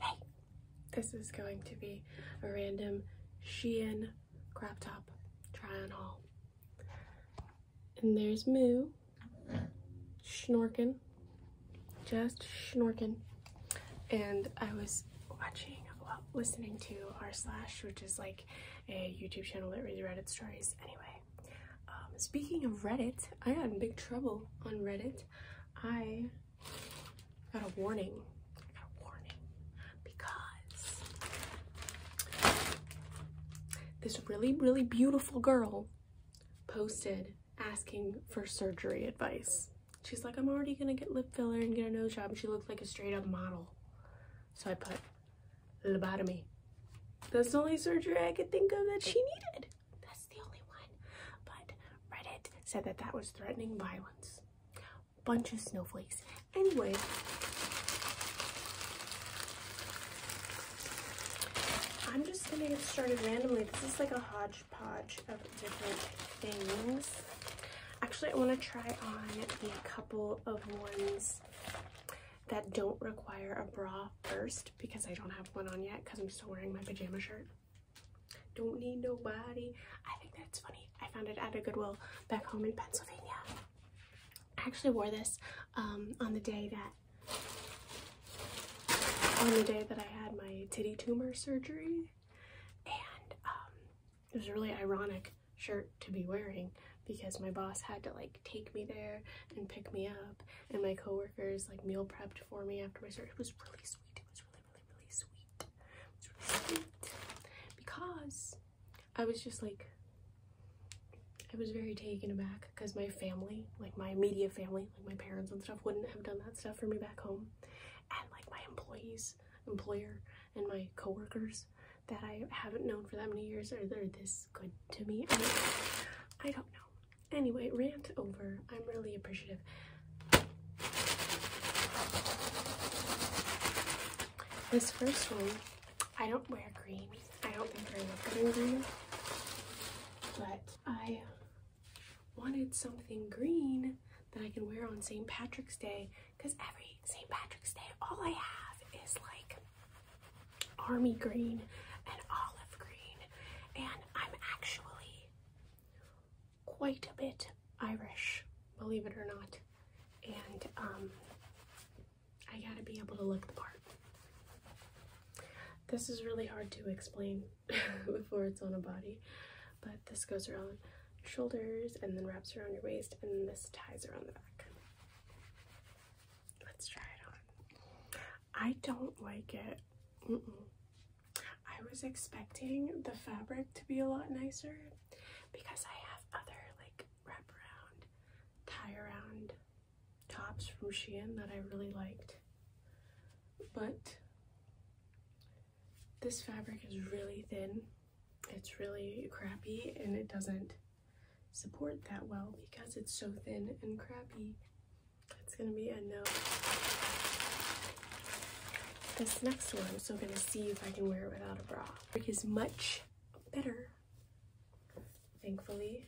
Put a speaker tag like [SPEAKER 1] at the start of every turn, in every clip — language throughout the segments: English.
[SPEAKER 1] Hey, this is going to be a random Shein crop top try on haul. And there's Moo, snorking, just snorking. And I was watching, well, listening to R Slash, which is like a YouTube channel that reads Reddit stories. Anyway, um, speaking of Reddit, I got in big trouble on Reddit I got a warning. got a warning because this really, really beautiful girl posted asking for surgery advice. She's like, I'm already gonna get lip filler and get a nose job. she looks like a straight up model. So I put lobotomy. That's the only surgery I could think of that she needed. That's the only one. But Reddit said that that was threatening violence. Bunch of snowflakes. Anyway, I'm just gonna get started randomly. This is like a hodgepodge of different things. Actually, I want to try on a couple of ones that don't require a bra first because I don't have one on yet because I'm still wearing my pajama shirt. Don't need nobody. I think that's funny. I found it at a Goodwill back home in Pennsylvania. I actually wore this um, on the day that on the day that I had my titty tumor surgery, and um, it was a really ironic shirt to be wearing because my boss had to like take me there and pick me up and my coworkers like meal prepped for me after my surgery. It was really sweet. It was really, really, really sweet. It was really sweet because I was just like I was very taken aback because my family, like my immediate family, like my parents and stuff, wouldn't have done that stuff for me back home. And like my employees, employer, and my coworkers that I haven't known for that many years are they're this good to me. I, I don't know. Anyway, rant over. I'm really appreciative. This first one, I don't wear green. I don't think I look good in green. But I wanted something green that I can wear on St. Patrick's Day because every St. Patrick's Day, all I have is like army green and olive green, and I'm actually quite a bit Irish, believe it or not. And um, I gotta be able to look the part. This is really hard to explain before it's on a body, but this goes around shoulders and then wraps around your waist, and this ties around the back. Let's try it on. I don't like it. I was expecting the fabric to be a lot nicer because I have other like wraparound, tie around tops from Shein that I really liked. But this fabric is really thin it's really crappy and it doesn't support that well because it's so thin and crappy. It's gonna be a no. This next one, so gonna see if I can wear it without a bra. It is much better, thankfully.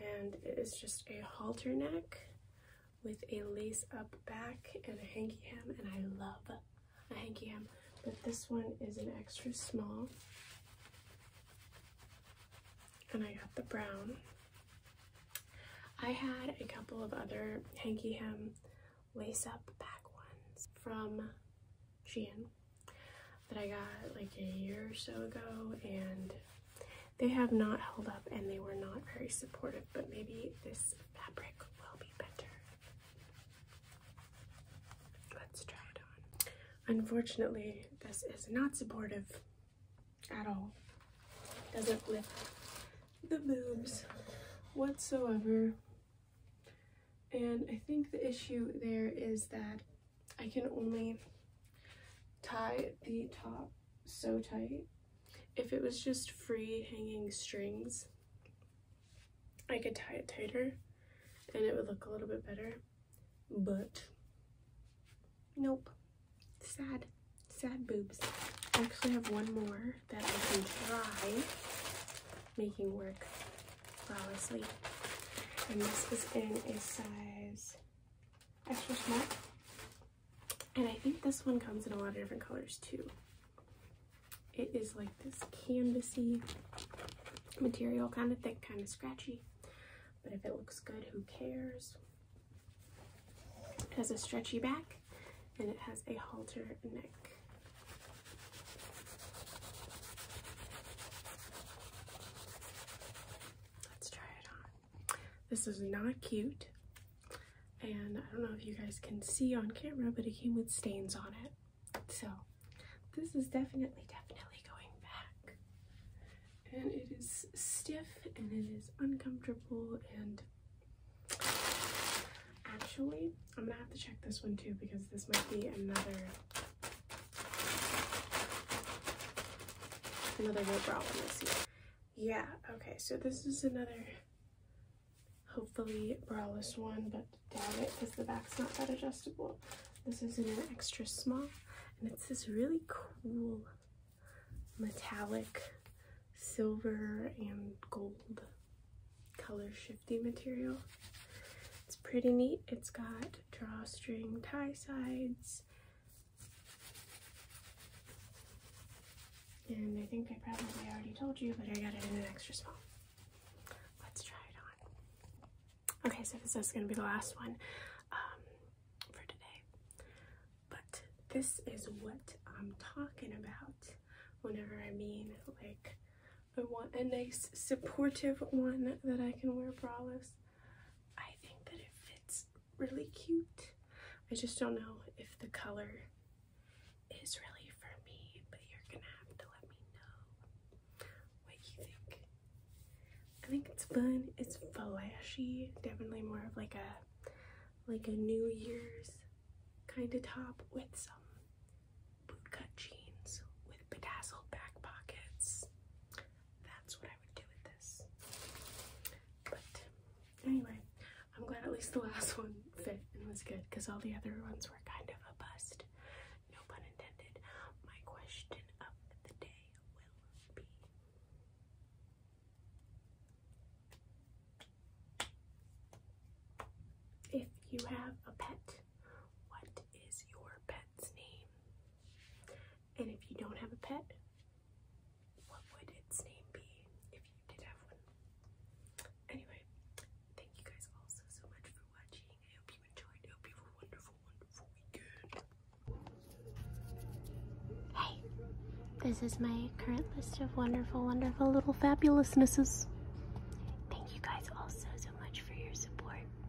[SPEAKER 1] And it is just a halter neck with a lace up back and a hanky hem, and I love a hanky hem, but this one is an extra small. And I got the brown. I had a couple of other hanky hem lace up back ones from Shein that I got like a year or so ago and they have not held up and they were not very supportive but maybe this fabric will be better Let's try it on. Unfortunately, this is not supportive at all. Doesn't lift the boobs whatsoever. And I think the issue there is that I can only tie the top so tight. If it was just free hanging strings, I could tie it tighter and it would look a little bit better, but nope. Sad, sad boobs. I actually have one more that I can try making work flawlessly. And this is in a size extra small. And I think this one comes in a lot of different colors too. It is like this canvasy material, kind of thick, kind of scratchy. But if it looks good, who cares? It has a stretchy back and it has a halter neck. Let's try it on. This is not cute. And I don't know if you guys can see on camera, but it came with stains on it. So this is definitely, definitely going back. And it is stiff and it is uncomfortable and actually, I'm gonna have to check this one too because this might be another another rope bra one this year. Yeah, okay, so this is another hopefully braless one, but damn it because the back's not that adjustable. This is in an extra small, and it's this really cool metallic silver and gold color shifty material. It's pretty neat. It's got drawstring tie sides and I think I probably already told you, but I got it in an extra small. Let's try it on. Okay, so this is going to be the last one um, for today. But this is what I'm talking about whenever I mean, like, I want a nice supportive one that I can wear braless. I think that it fits really cute. I just don't know if the color is really for me, but you're gonna have to let me know what you think. I think it's fun. It's flashy. Definitely more of like a like a New Year's kind of top with some bootcut jeans with bedazzled back pockets. That's what anyway, I'm glad at least the last one fit and was good because all the other ones were kind of a bust. No pun intended. My question of the day will be. If you have a pet, what is your pet's name? And if you don't have a pet, what would its name be if you did have one? Anyway, thank you guys all so, so much for watching. I hope you enjoyed. I hope you have a wonderful, wonderful weekend. Hey, this is my current list of wonderful, wonderful little fabulousnesses. Thank you guys all so, so much for your support.